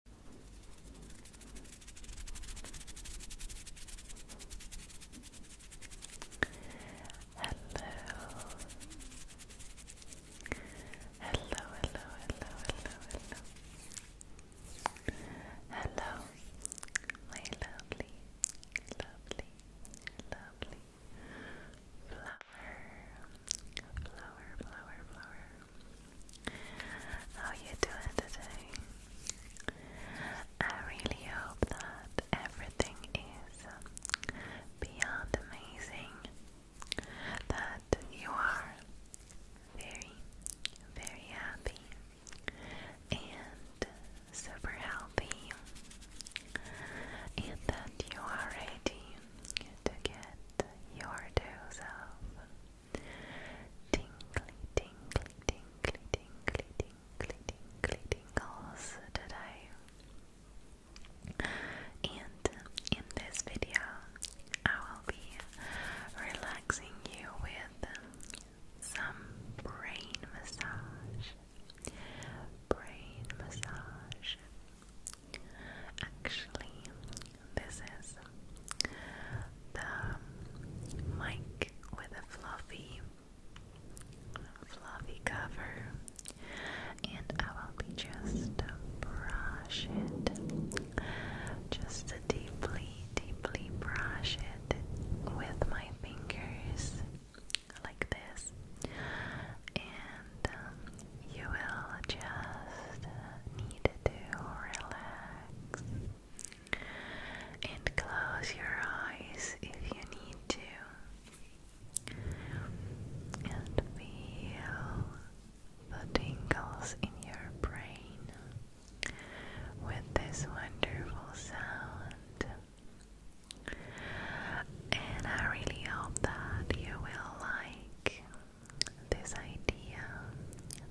hello, hello, hello, hello. Hello, my lovely, lovely, lovely flower flower, flower, flower. How you doing today? I really hope that everything is beyond amazing. That you are very, very happy and super healthy, and that you are ready to get your dose of tingly, tingly, tingly, tingly, tingly, tingly tingles today. And in this video, I will be relaxing you with some brain massage. Brain massage. Actually, this is the mic with a fluffy, fluffy cover, and I will be just brush it, just deeply, deeply brush it with my fingers like this and um, you will just uh, need to relax and close your eyes if you need to, and feel the tingles in your brain with this wonderful sound. And I really hope that you will like this idea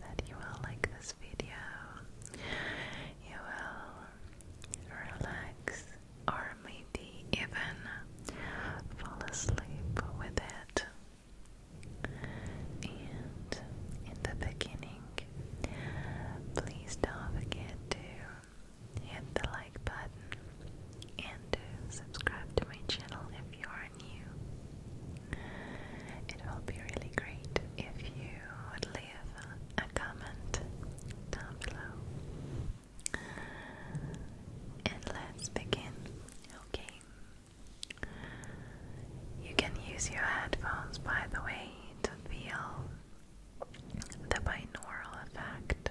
that you will like this video, you will relax, or maybe even fall asleep with it. And in the beginning, please don't forget to hit the like button and subscribe to my channel if you are new. It will be really great if you would leave a comment down below. And let's begin. Okay. You can use your headphones, by the way, to feel the binaural effect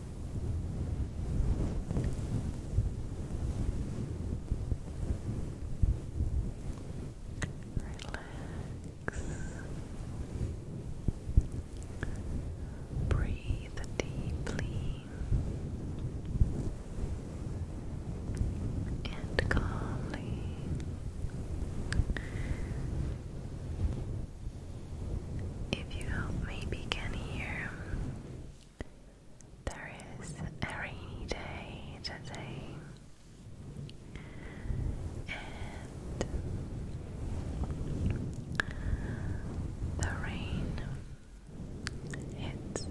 Relax. Breathe deeply and calmly. If you help me begin here, there is a rainy day today, and the rain hits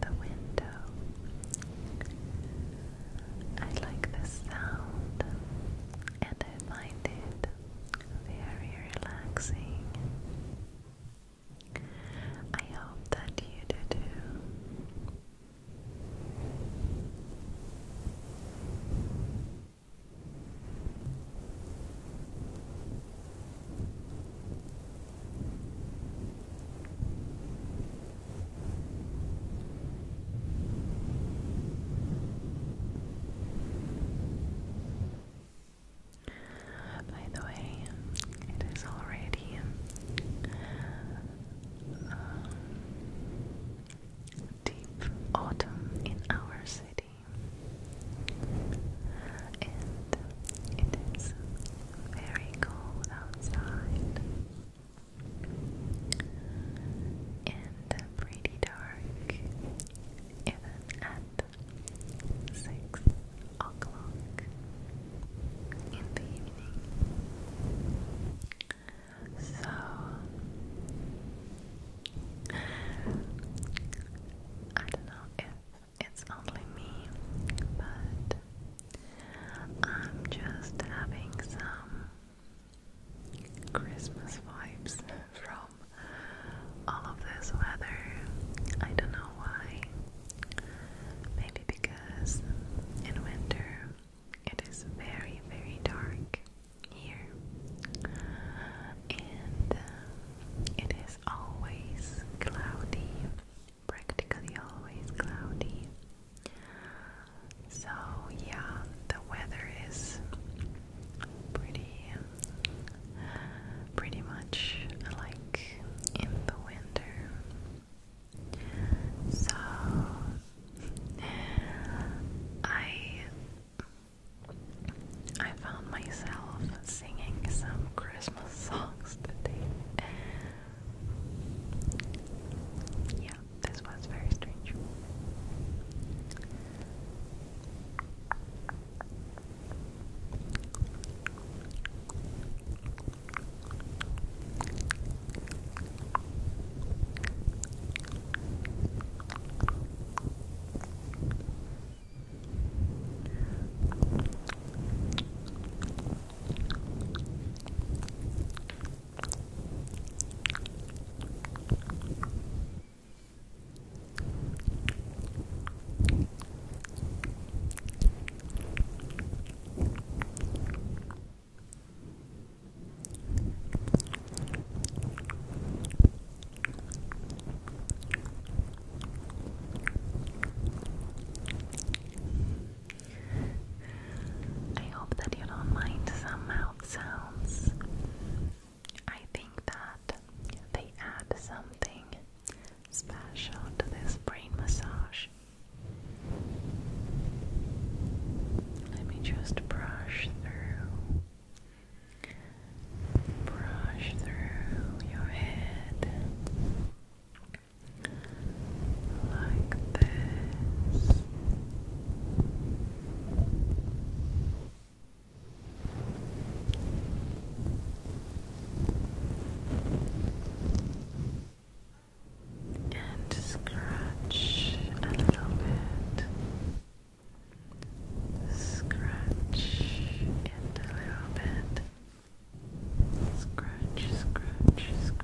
the window. I like the sound, and I find it very relaxing. I hope that you do too. By the way, it is already um, deep autumn in our city, and it is very cold outside and pretty dark even at six o'clock in the evening. So I don't know if it's only me, but I'm just having some Christmas vibes from all of this weather. I don't know why. Maybe because in winter it is very, very dark here, and uh, it is always cloudy, practically always cloudy. So, yeah, the weather is pretty, pretty much like in the winter. So I I found myself singing some Christmas songs today. Yeah, yeah, this was very strange. I hope that you don't mind somehow sounds. I think that they add something special to this brain massage. Let me just brush through. Brush through your head like this. And scratch a little bit. Scratch it a little bit. Scratch, scratch, scratch.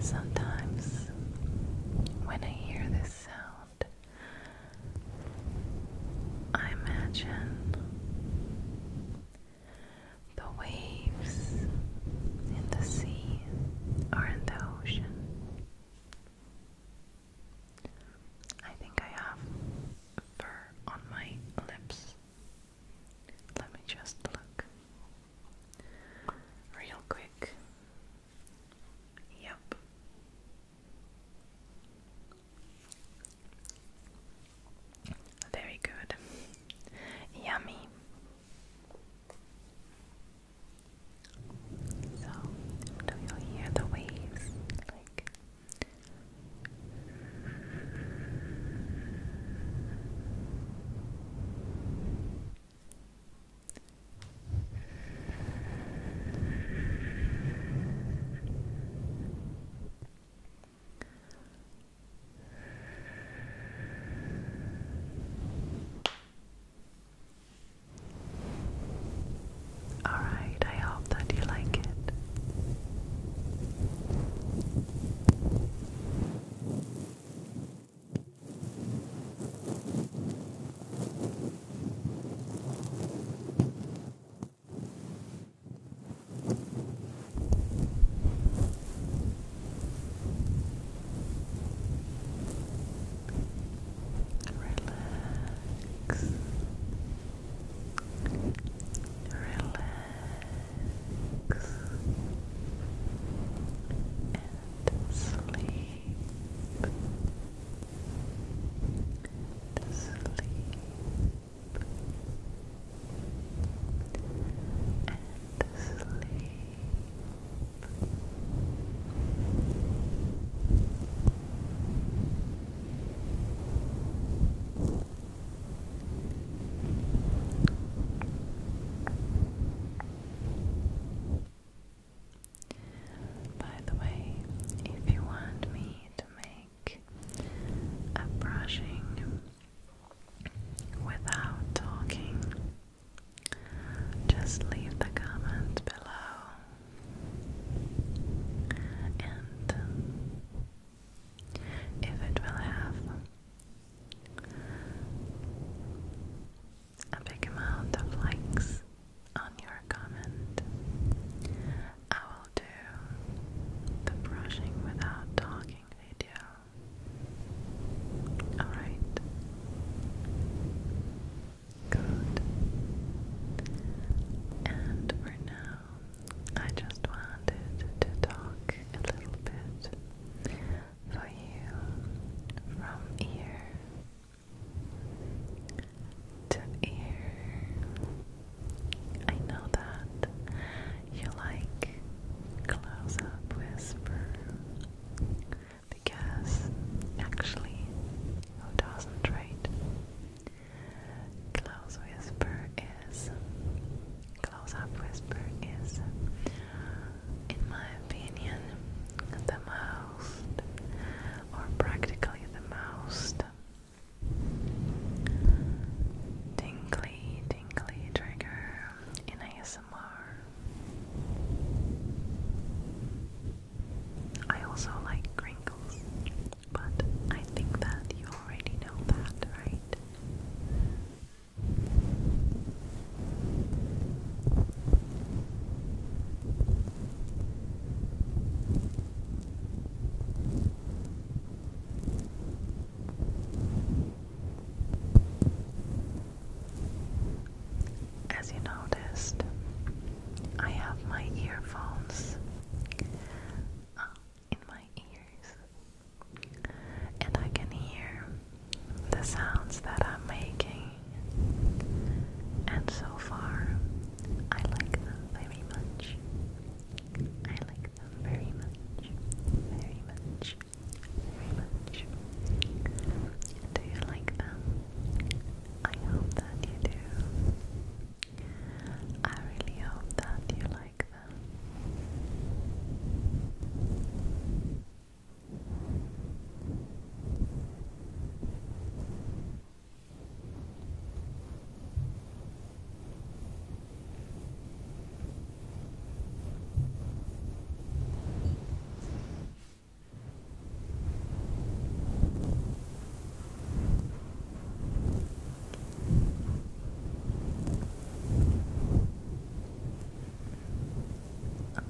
Sometimes, when I hear this sound, I imagine the waves in the sea are in the ocean. I think I have fur on my lips. Let me just look real quick. Yep. Very good. Yummy. So, do you hear the waves? Like all right, I that you like it. Relax relax and sleep. Sleep and sleep. By the way, if you want me to make a brushing without talking, just leave the comment below and um, if it will have a big amount of likes on your comment, I will do the brushing without talking video. Alright. Good. And for now, I just wanted to talk a little bit for you from ear to ear. I know that you like close up whisper because actually, who doesn't, right? Close whisper is close up whisper is in my opinion the most or practically the most tingly tingly trigger in ASMR. I also like crinkles, but I think that you already know that, right? as you noticed, I have my earphones uh, in my ears, and I can hear the sounds that I'm making. And so far, I like them very much. I like them very much, very much, very much. Do you like them? I hope that you do. I really hope that you like them.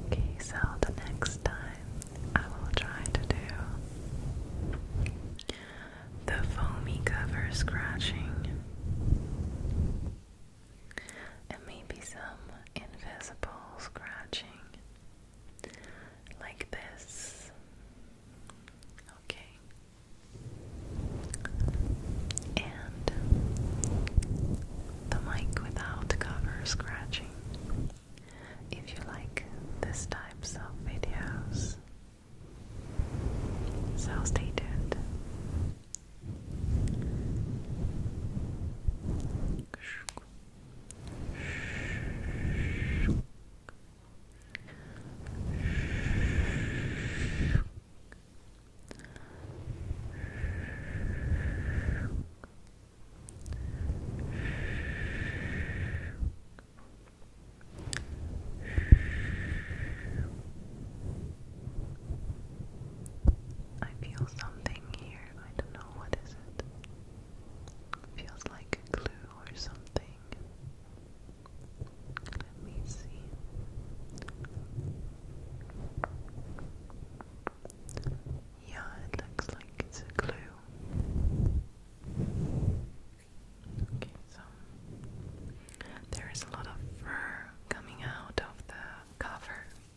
Okay, so the next time I will try to do the foamy cover scratching and maybe some invisible scratching like this. Okay. And the mic without cover scratching. If you like this types of videos. So stay tuned. I feel something here. I don't know what is it? Feels like a clue or something. Let me see. Yeah, it looks like it's a clue. Okay, so there is a lot of fur coming out of the cover.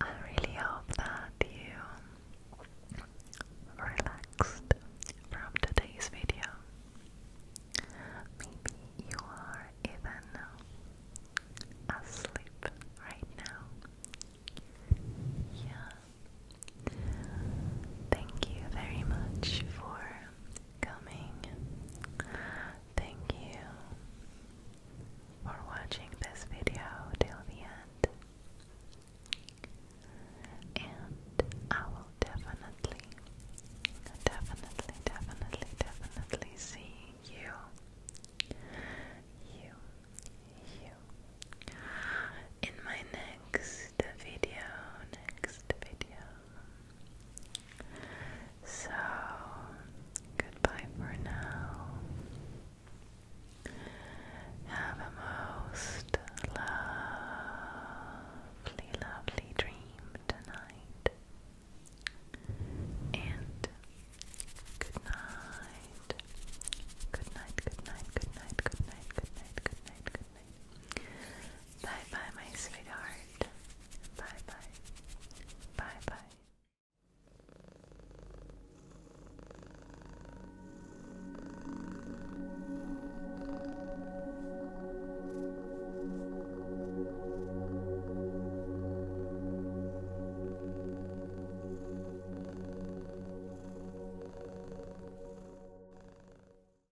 I really hope that you relaxed from today's video. Maybe you are even asleep right now. Yeah. Thank you very much for coming. Thank you for watching this video till the end. And I will definitely, definitely, definitely, definitely see you. You, you. In my next video, next video, so, goodbye for now. Have a most lovely, lovely dream tonight. And good night. Good night, good night, good night, good night, good night, good night, good night. Bye bye, my sweetheart. Bye bye. Bye bye.